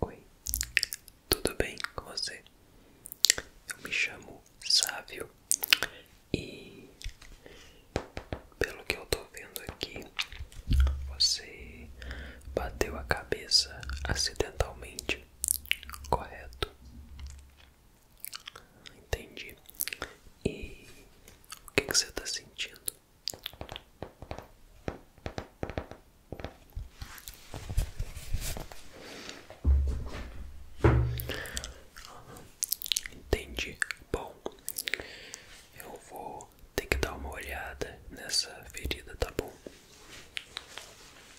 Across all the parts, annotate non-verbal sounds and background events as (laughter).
Oi, tudo bem com você? Eu me chamo Sávio e, pelo que eu tô vendo aqui, você bateu a cabeça acidentalmente, correto? Entendi. E o que, que você está sentindo? Entendi. Bom, eu vou ter que dar uma olhada nessa ferida, tá bom?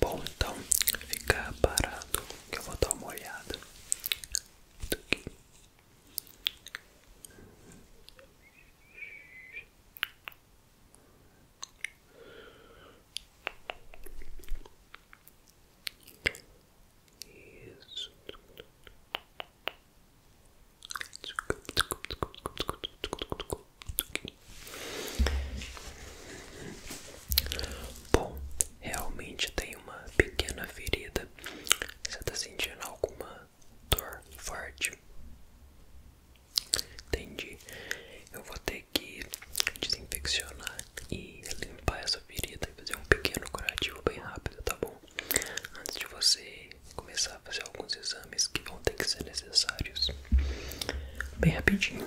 Bom, então fica parado que eu vou dar uma olhada. Bom, realmente tem uma pequena ferida. Você está sentindo alguma dor forte? Entendi. Eu vou ter que desinfeccionar e limpar essa ferida e fazer um pequeno curativo bem rápido, tá bom? Antes de você começar a fazer alguns exames que vão ter que ser necessários bem rapidinho.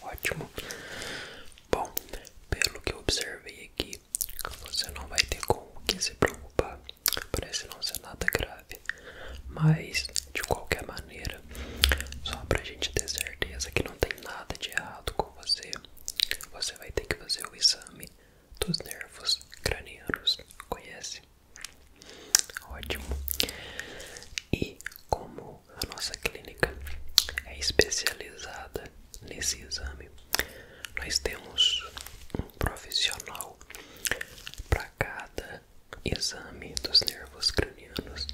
Ótimo. Bom, pelo que eu observei aqui, você não vai ter com o que se preocupar. Parece não ser nada grave. Mas, de qualquer maneira, só para a gente ter certeza que não tem nada de errado com você, você vai ter que fazer o exame dos nervos cranianos. Conhece? Ótimo. E como a nossa clínica é especializada nesse exame, nós temos um profissional para cada exame dos nervos cranianos.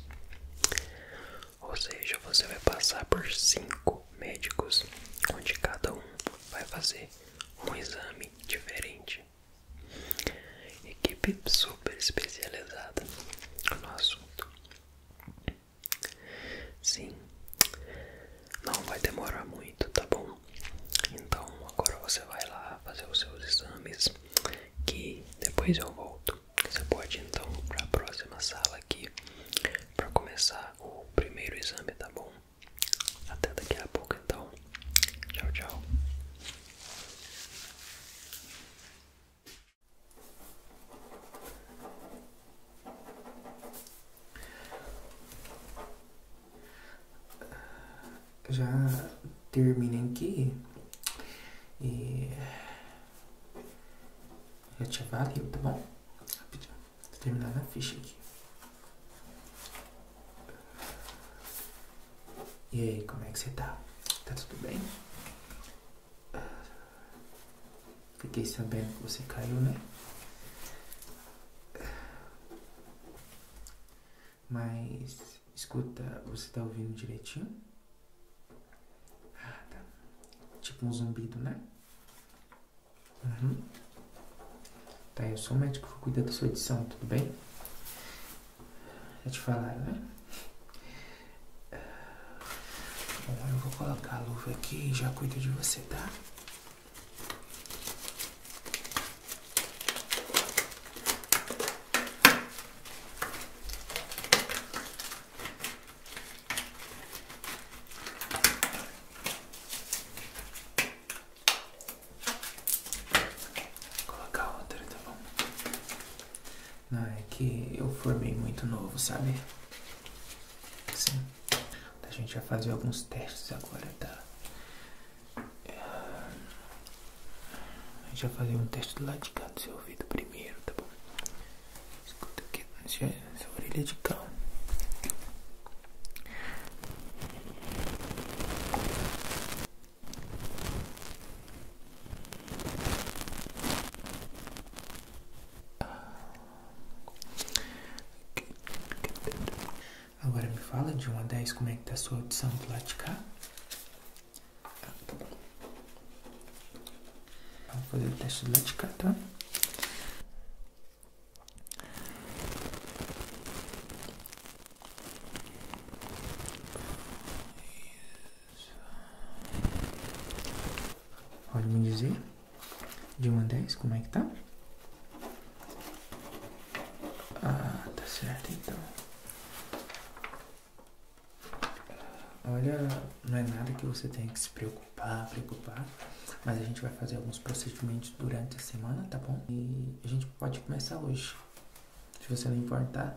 Ou seja, você vai passar por cinco médicos, onde cada um vai fazer um exame diferente Equipe super especializada no assunto. Sim, não vai demorar muito, tá bom? Então agora você vai lá fazer os seus exames, que depois eu volto. Você pode então para a próxima sala aqui para começar o primeiro exame, tá bom? Até daqui a pouco então. Tchau, tchau. Já terminei aqui e eu te avalio, tá bom? Rapidinho, vou terminar ficha aqui. E aí, como é que você tá? Tá tudo bem? Fiquei sabendo que você caiu, né? Mas, escuta, você tá ouvindo direitinho? Ah, tá. Tipo um zumbido, né? Uhum. Tá, eu sou o médico que cuida da sua edição, tudo bem? Já te falaram, né? Agora eu vou colocar a luva aqui e já cuido de você, tá? colocar outra, tá bom? Não, é que eu formei muito novo, sabe? Sim. A gente vai fazer alguns testes agora, tá? A gente vai fazer um teste do lado de cá do seu ouvido primeiro, tá bom? Escuta aqui, sua orelha de cão. Agora me fala de uma a 10 como é que está a sua audição do lado Vamos fazer o teste do lado tá? Pode me dizer de uma vez. como é que tá? Ah, tá certo então. Olha, não é nada que você tenha que se preocupar, preocupar, mas a gente vai fazer alguns procedimentos durante a semana, tá bom? E a gente pode começar hoje, se você não importar.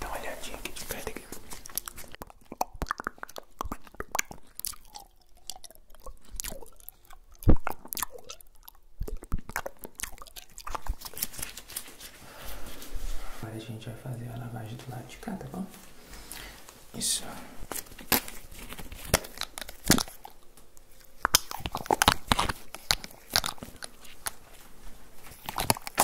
Dá uma olhadinha aqui de perto aqui. Agora a gente vai fazer a lavagem do lado de cá, tá bom? Isso.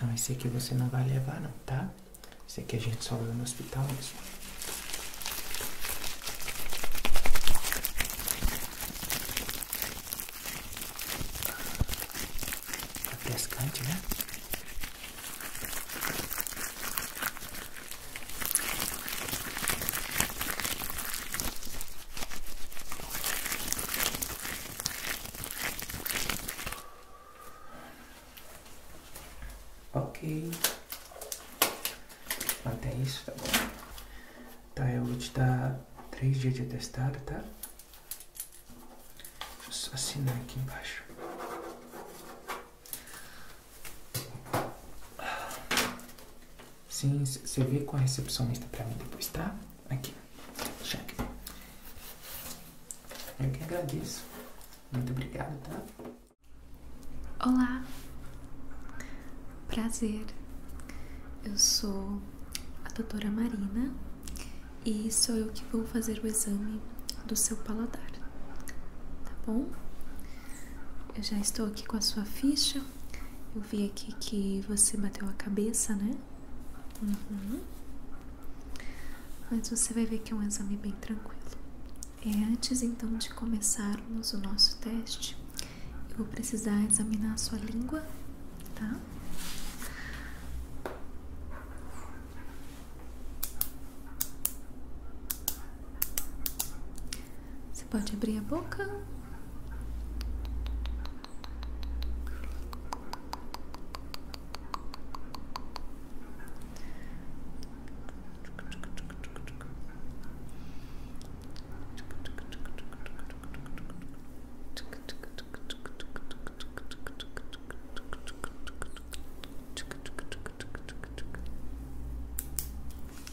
Não, esse aqui você não vai levar não, tá? Esse aqui a gente só usa no hospital mesmo. Refrescante, tá né? Ok. Até isso, tá bom. Tá, eu vou te dar três dias de atestado, tá? assinar aqui embaixo. Sim, você vê com a recepcionista para mim depois, tá? Aqui, cheque. Eu que agradeço. Muito obrigado, tá? Olá. Prazer. Eu sou a doutora Marina e sou eu que vou fazer o exame do seu paladar, tá bom? Eu já estou aqui com a sua ficha. Eu vi aqui que você bateu a cabeça, né? Uhum. Mas você vai ver que é um exame bem tranquilo. É, antes então de começarmos o nosso teste, eu vou precisar examinar a sua língua, tá? Você pode abrir a boca.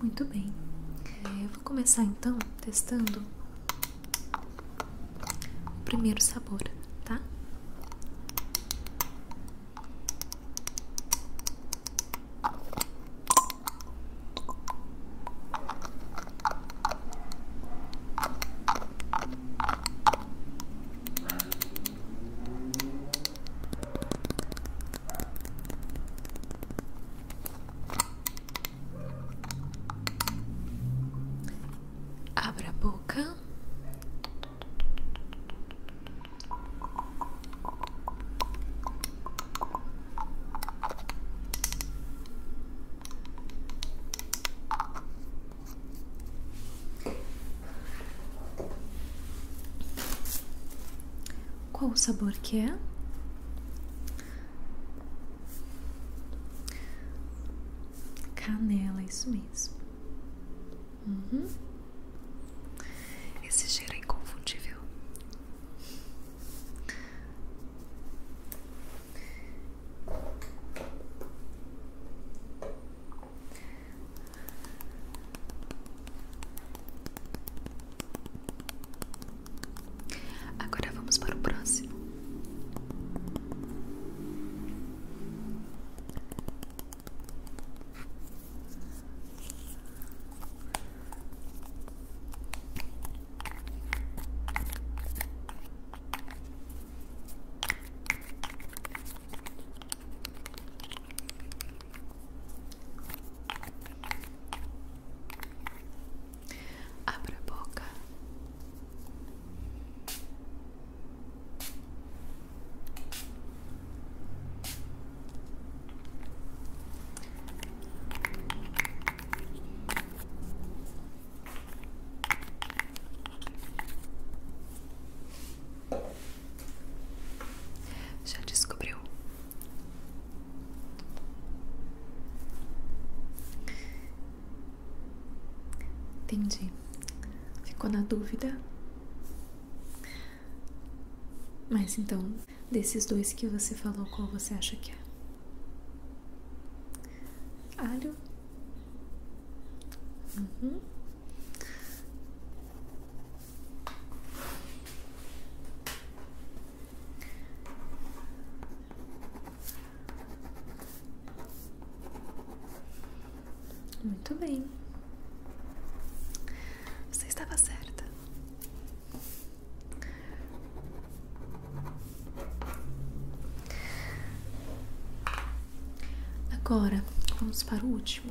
Muito bem, é, eu vou começar então testando o primeiro sabor, tá? Abra a boca. Qual o sabor que é? Canela, isso mesmo. Uhum. Esse cheiro é inconfundível. Agora vamos para o próximo. Abra boca. Já descobriu Entendi. Ficou na dúvida? Mas então, desses dois que você falou, qual você acha que é? Alho? Uhum. Muito bem. Você estava certa. Agora vamos para o último.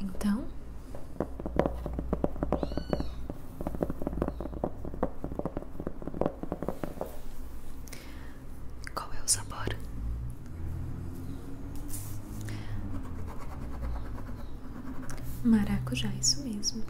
Então, qual é o sabor? Maracujá, isso mesmo.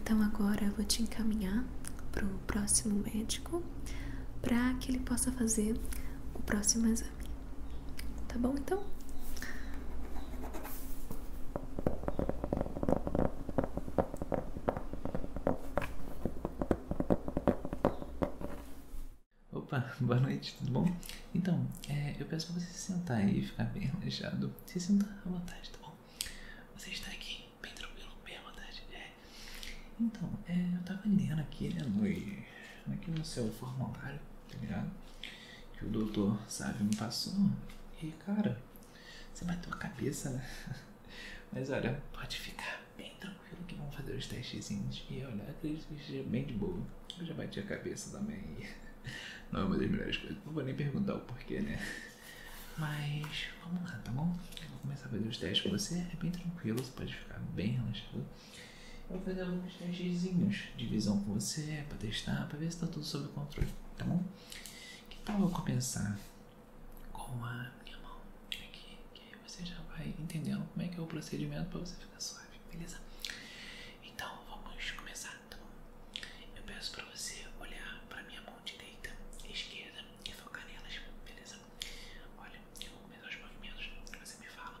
Então agora eu vou te encaminhar para o próximo médico para que ele possa fazer o próximo exame. Tá bom então? Opa, boa noite, tudo bom? Então, é, eu peço pra você se sentar aí e ficar bem relaxado. Se sentar à vontade, tá bom? Você está aqui, bem tranquilo, bem à vontade. É. Então, é, eu tava lendo aqui, né, no aqui é no seu formulário, tá ligado? Que o doutor Sávio me passou. E cara, você bateu a cabeça, né? (laughs) Mas olha, pode ficar bem tranquilo que vão fazer os testezinhos. E olha, acredito que esteja bem de boa. Eu já bati a cabeça também. (laughs) Não é uma das melhores coisas. Não vou nem perguntar o porquê, né? Mas vamos lá, tá bom? Eu vou começar a fazer os testes com você. É bem tranquilo, você pode ficar bem relaxado. Eu vou fazer alguns testezinhos de visão com você, para testar, para ver se está tudo sob controle, tá bom? Que tal eu começar com a minha mão aqui, que aí você já vai entendendo como é que é o procedimento para você ficar suave, beleza? Então vamos começar, tá bom? Eu peço para você olhar pra minha mão direita e esquerda e focar nelas, beleza? Olha, eu vou começar os movimentos, você me fala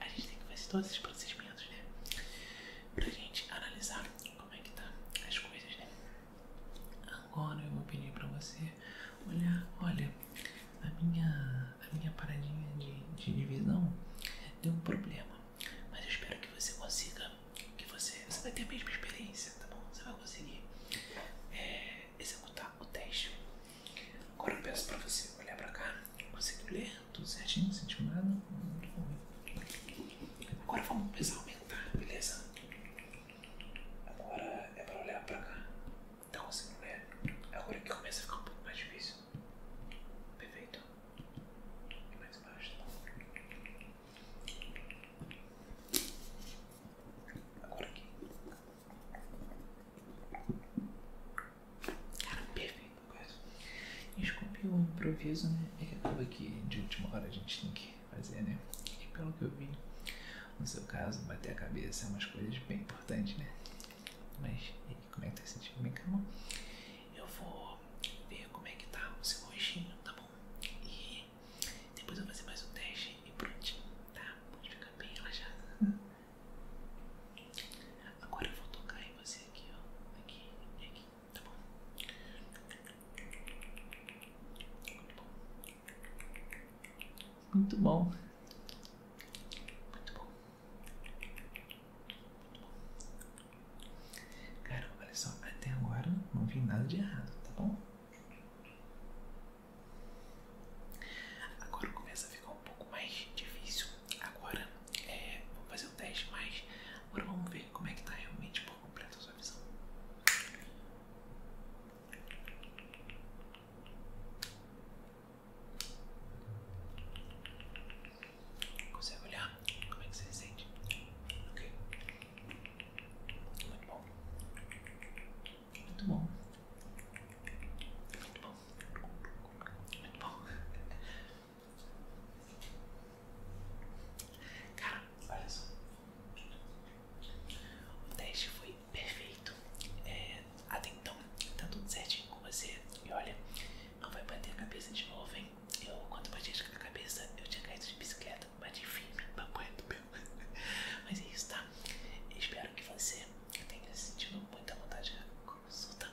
a gente tem que fazer todos esses procedimentos, né? Pra gente analisar como é que tá as coisas, né? Agora eu vou pedir pra você olhar, olha, a minha, a minha paradinha de, de divisão deu um problema. Mas eu espero que você consiga, que você, você vai ter a mesma experiência, tá bom? Você vai conseguir é, executar o teste. Agora eu peço pra você olhar pra cá, conseguiu ler? Tudo certinho, sentiu nada? Agora vamos precisar aumentar, beleza? Agora é pra olhar pra cá. Então assim, não Agora que começa a ficar um pouco mais difícil. Perfeito. E mais baixo, tá Agora aqui. Cara, perfeito, coisa. Desculpe o improviso, né? É que acaba que de última hora a gente tem que fazer, né? E pelo que eu vi, no seu caso, bater a cabeça é umas coisas bem importantes, né? Mas, como é que tá sentindo bem é tá, cama? Eu vou ver como é que tá o seu roxinho, tá bom? E depois eu vou fazer mais um teste e prontinho, tá? Pode ficar bem relaxado Agora eu vou tocar em você aqui, ó. Aqui e aqui. Tá bom? Muito bom. Muito bom. Cara, olha só, até agora não vi nada de errado, tá bom? Agora começa a ficar um pouco mais difícil Agora, é, vamos fazer o teste, mas agora vamos ver como é que está realmente por completo a sua visão. Consegue olhar? Como é que você sente? Ok. Muito bom. Muito bom. Muito bom. Muito bom. Cara, olha só. O teste foi perfeito. É, até então, tá tudo certinho com você. E olha, não vai bater a cabeça de novo, hein? Eu, quando bati a cabeça, eu tinha caído de bicicleta. Bati firme, papai do meu. (laughs) Mas é isso, tá? Espero que você tenha sentido muita vontade de consulta.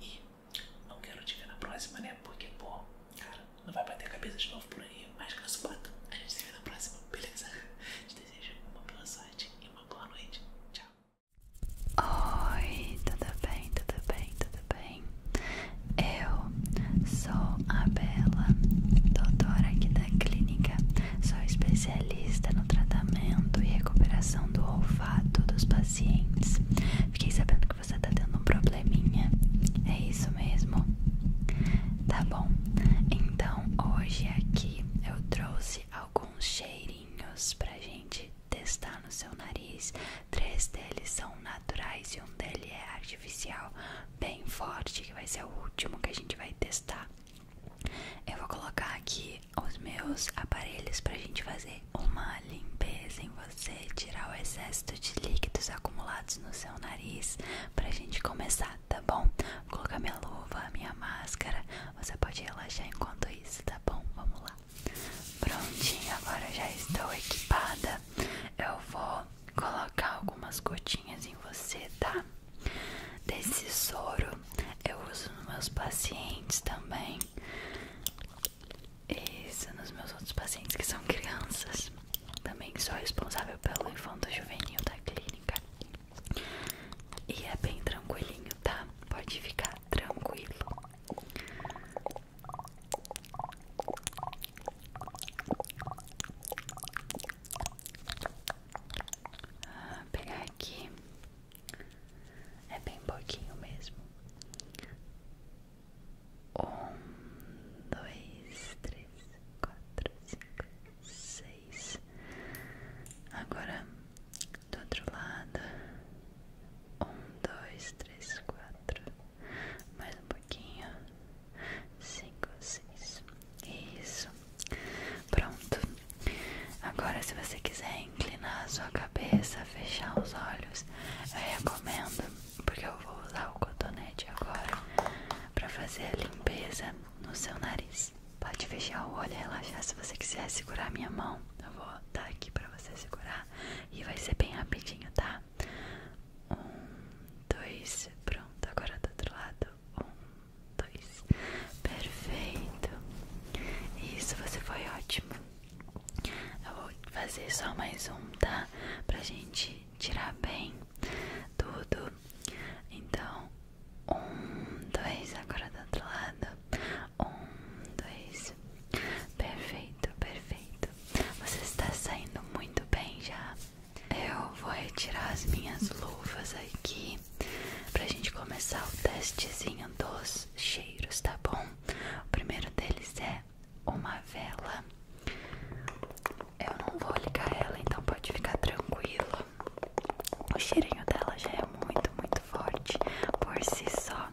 E não quero te ver na próxima, né? Porque, pô, cara, não vai bater a cabeça de novo por aí. Mas caso bata, a gente se vê na próxima, beleza? Te desejo uma boa sorte e uma boa noite. Tchau. Oi, tudo bem, tudo bem, tudo bem? Eu sou a Bela, doutora aqui da clínica. Sou especialista no tratamento e recuperação do olfato dos pacientes. Fiquei sabendo que você tá tendo um probleminha. É isso mesmo? Tá bom. Então, hoje aqui eu trouxe alguns cheirinhos pra gente testar no seu nariz. Três deles são naturais e um deles é artificial, bem forte, que vai ser o último que a gente vai testar. Eu vou colocar aqui os meus aparelhos pra gente fazer uma limpeza em você, tirar o excesso de líquidos acumulados no seu nariz pra gente começar, tá bom? Vou colocar minha luva, minha máscara, você pode relaxar enquanto isso, tá bom? Vamos lá. Prontinho, agora já estou equipada. Eu vou colocar algumas gotinhas em você, tá? Desse soro eu uso nos meus pacientes também. Isso nos meus outros pacientes que são crianças. Também sou responsável pelo infanto juvenil da clínica. E é bem tranquilinho, tá? Pode ficar tranquilo. Ah, pegar aqui é bem pouquinho mesmo. Um, dois, três, quatro, cinco, seis. Agora do outro lado. Um, dois, três, quatro. Mais um pouquinho. Cinco, seis. Isso. Pronto. Agora, se você quiser inclinar a sua cabeça, fechar os olhos. Eu recomendo, porque eu vou usar o cotonete agora pra fazer a limpeza no seu nariz. Pode fechar o olho e relaxar se você quiser segurar minha mão. Eu vou dar aqui pra você segurar e vai ser bem rapidinho, tá? Um, dois, pronto. Agora do outro lado. Um, dois. Perfeito. Isso, você foi ótimo. Eu vou fazer só mais um, tá? Pra gente tirar bem tudo. Então, um, dois, agora do outro lado. Um, dois. Perfeito, perfeito. Você está saindo muito bem já. Eu vou retirar as minhas luvas aqui pra gente começar o testezinho dos cheiros, tá bom? O primeiro deles é uma vela. Eu não vou ligar ela, então pode ficar tranquilo. O cheirinho dela já é muito, muito forte por si só.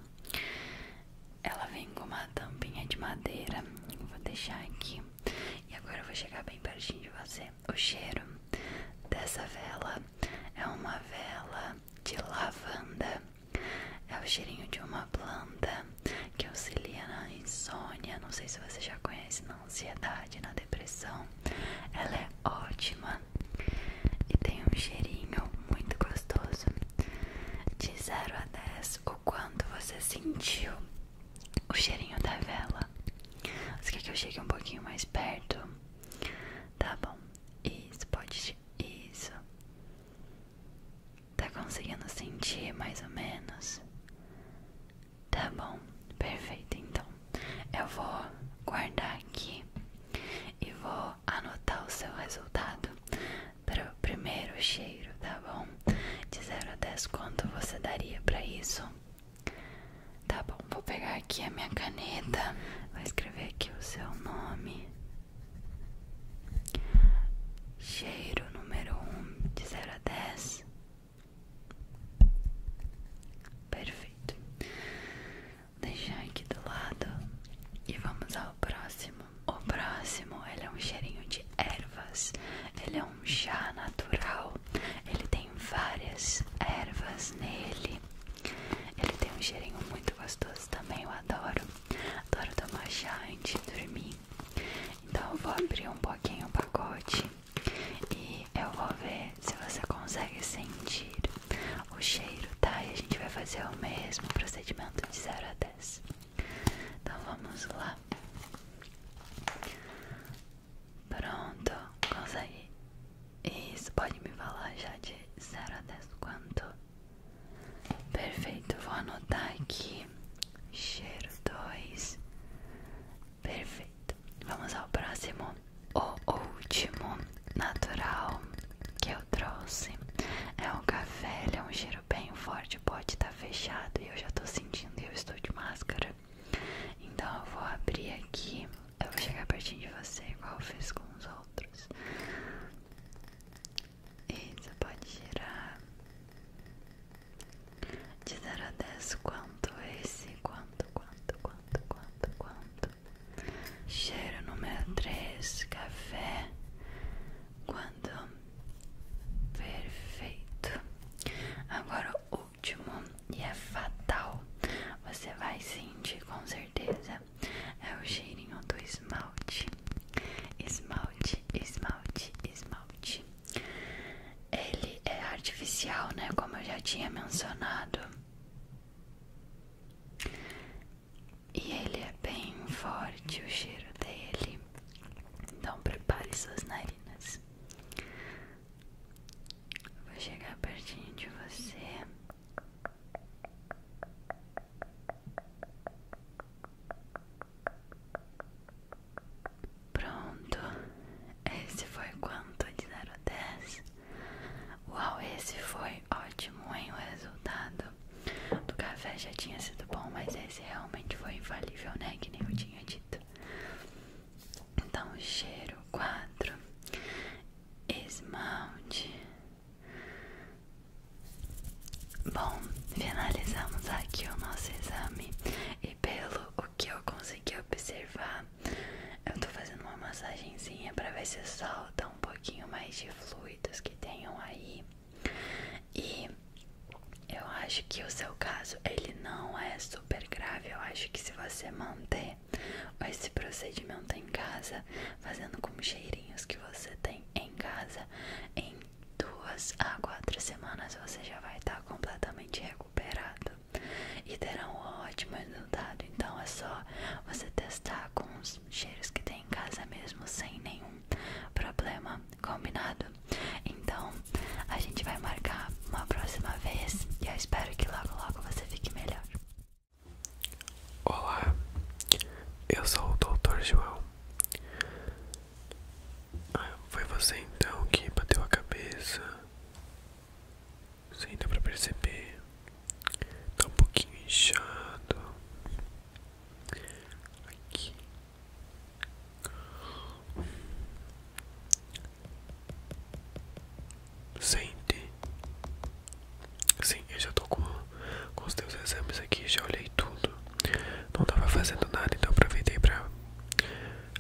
Ela vem com uma tampinha de madeira. Vou deixar aqui. E agora eu vou chegar bem perto de você. O cheiro dessa vela é uma vela de lavanda. É o cheirinho de uma planta que auxilia na insônia. Não sei se você já conhece, na ansiedade, na depressão. Ela é ótima e tem um cheirinho muito gostoso. De 0 a 10, o quanto você sentiu o cheirinho da vela. Você quer que eu chegue um pouquinho mais perto? Tá bom. Isso, pode. Isso. Tá conseguindo sentir mais ou menos? Tá bom, perfeito. Então eu vou guardar aqui e vou anotar o seu resultado para o primeiro cheiro, tá bom? De 0 a 10, quanto você daria para isso? Tá bom, vou pegar aqui a minha caneta, vou escrever aqui o seu nome, Cheiro número um de 0 a 10. Perfeito. Deixar aqui do lado e vamos ao próximo. O próximo, ele é um cheirinho de ervas. Ele é um chá natural. Ele tem várias ervas nele. Ele tem um cheirinho muito gostoso também, eu adoro. Adoro tomar chá antes de dormir. Então eu vou abrir um pouquinho o pacote e eu vou ver se você consegue sentir o cheiro, tá? E a gente vai fazer o mesmo procedimento de 0 a 10. Então vamos lá. Pronto, consegue. Isso, pode me falar já de 0 a 10 quanto Perfeito, vou anotar aqui. Cheiro 2. Perfeito. Vamos ao próximo. O último natural que eu trouxe é o café. Ele é um cheiro bem forte. pode estar tá fechado e eu já tô sentindo. E eu estou de máscara. Então eu vou abrir aqui. Eu vou chegar perto de você, igual eu fiz com os outros isso pode girar de 0 a 10 quanto esse, quanto, quanto, quanto, quanto, quanto. Cheiro número 3, café. Quanto? Perfeito. Agora o último, e é fatal. Você vai sentir com certeza é o cheirinho do esmalte. Esmalte, esmalte, esmalte. Ele é artificial, né? Como eu já tinha mencionado. E ele é bem forte o cheiro dele. Então prepare suas narinas. Vou chegar pertinho de você. Pronto, esse foi quanto de 0 a 10? Uau, esse foi ótimo, hein? O resultado do café já tinha sido bom, mas esse realmente foi infalível, né? Que nem eu tinha dito. Então, cheiro 4, esmalte Bom, finalizamos aqui o nosso exame e pelo o que eu consegui observar, eu tô fazendo uma massagenzinha para ver se solta um pouquinho mais de fluidos que tenham aí. E eu acho que o seu caso ele não é super grave. Eu acho que se você manter esse procedimento em casa, fazendo com cheirinhos que você tem em casa, em duas a quatro semanas você já vai estar completamente recuperado e terá um ótimo resultado. Então é só você testar com os cheiros que tem em casa mesmo, sem nenhum problema, combinado? Então a gente vai marcar uma próxima vez e eu espero que logo logo você fique melhor. Olá, eu sou o Doutor João. Ah, foi você então que bateu a cabeça? Sem dá pra perceber. Tá um pouquinho inchado. Aqui. Sente Sim, eu já tô com, com os teus exames aqui, já olhei tudo. Não tava fazendo nada, então aproveitei pra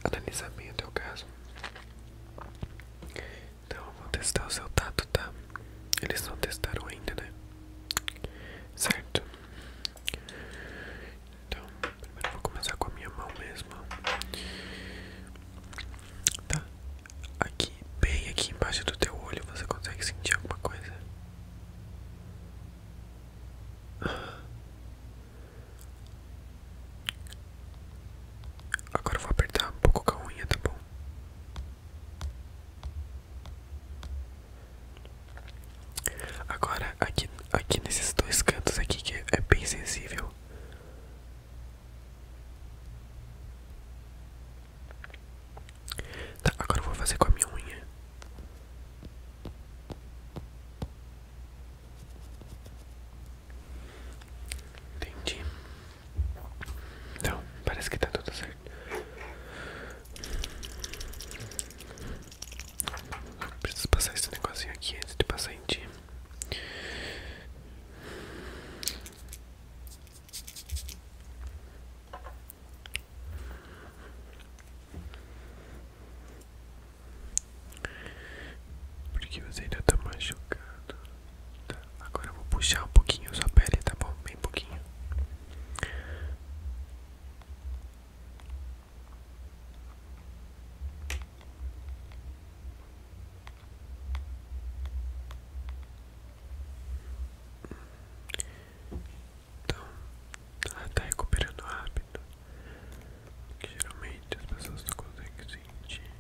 analisar bem o teu caso. Então eu vou testar o seu tato, tá? Eles não testaram ainda, né? Certo? Então, primeiro eu vou começar com a minha mão mesmo. Tá? Aqui, bem aqui embaixo do teu olho, você consegue sentir alguma coisa? Agora eu vou apertar um pouco com a unha, tá bom? Agora aqui, aqui nesses dois cantos aqui que é bem sensível. Tá, agora eu vou fazer com a minha unha. Entendi. Então, parece que tá tudo certo. Preciso passar esse negocinho aqui antes de passar em ti. Porque você ainda tá machucado. Tá, agora eu vou puxar um pouquinho sua pele, tá bom? Bem pouquinho. Então, ela tá recuperando rápido. geralmente as pessoas não conseguem sentir.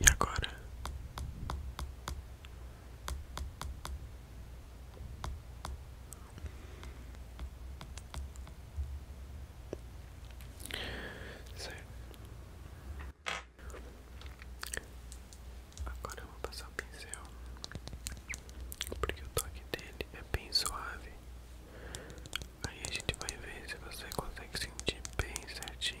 E agora? Certo. Agora eu vou passar o pincel, porque o toque dele é bem suave. Aí a gente vai ver se você consegue sentir bem certinho.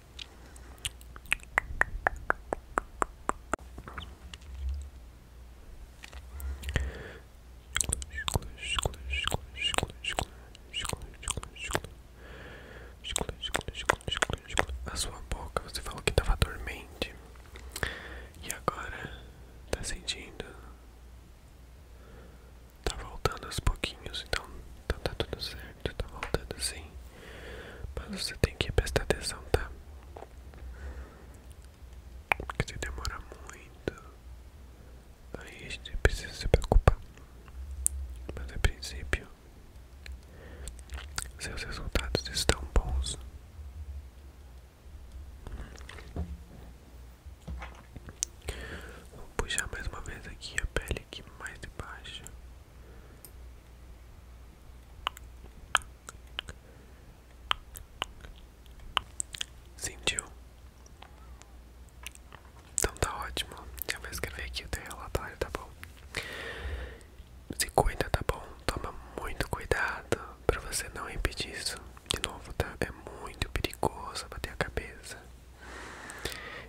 A sua boca, você falou que estava dormente e agora tá sentindo? Tá voltando aos pouquinhos, então, então tá tudo certo. Já tá voltando sim. Mas você tem que prestar atenção, tá? Porque se demora muito, aí a gente precisa se preocupar. Mas a princípio, seus resultados estão bons. Vou puxar mais uma vez aqui a pele aqui mais de baixo. Sentiu? Então tá ótimo. Eu vou escrever aqui o teu relatório, tá bom? Se cuida, tá bom? Toma muito cuidado para você não impedir isso. De novo, tá? É muito perigoso bater a cabeça.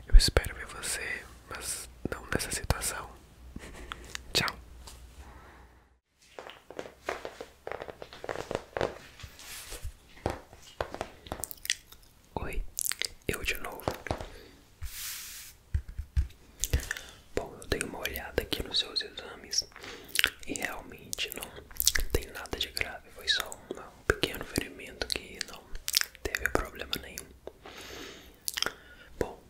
Eu espero ver você, mas não nessa situação. (laughs) Tchau. Oi, eu de novo. Bom, eu dei uma olhada aqui nos seus exames e realmente não tem nada de grave, foi só um pequeno ferimento que não teve problema nenhum. Bom,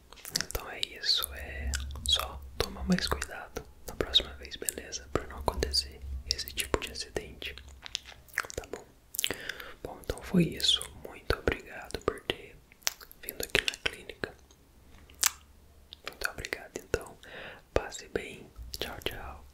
então é isso, é só tomar mais cuidado na próxima vez, beleza? Para não acontecer esse tipo de acidente, tá bom? Bom, então foi isso. Muito obrigado por ter vindo aqui na clínica. Muito obrigado, então. Passe bem. Tchau, tchau.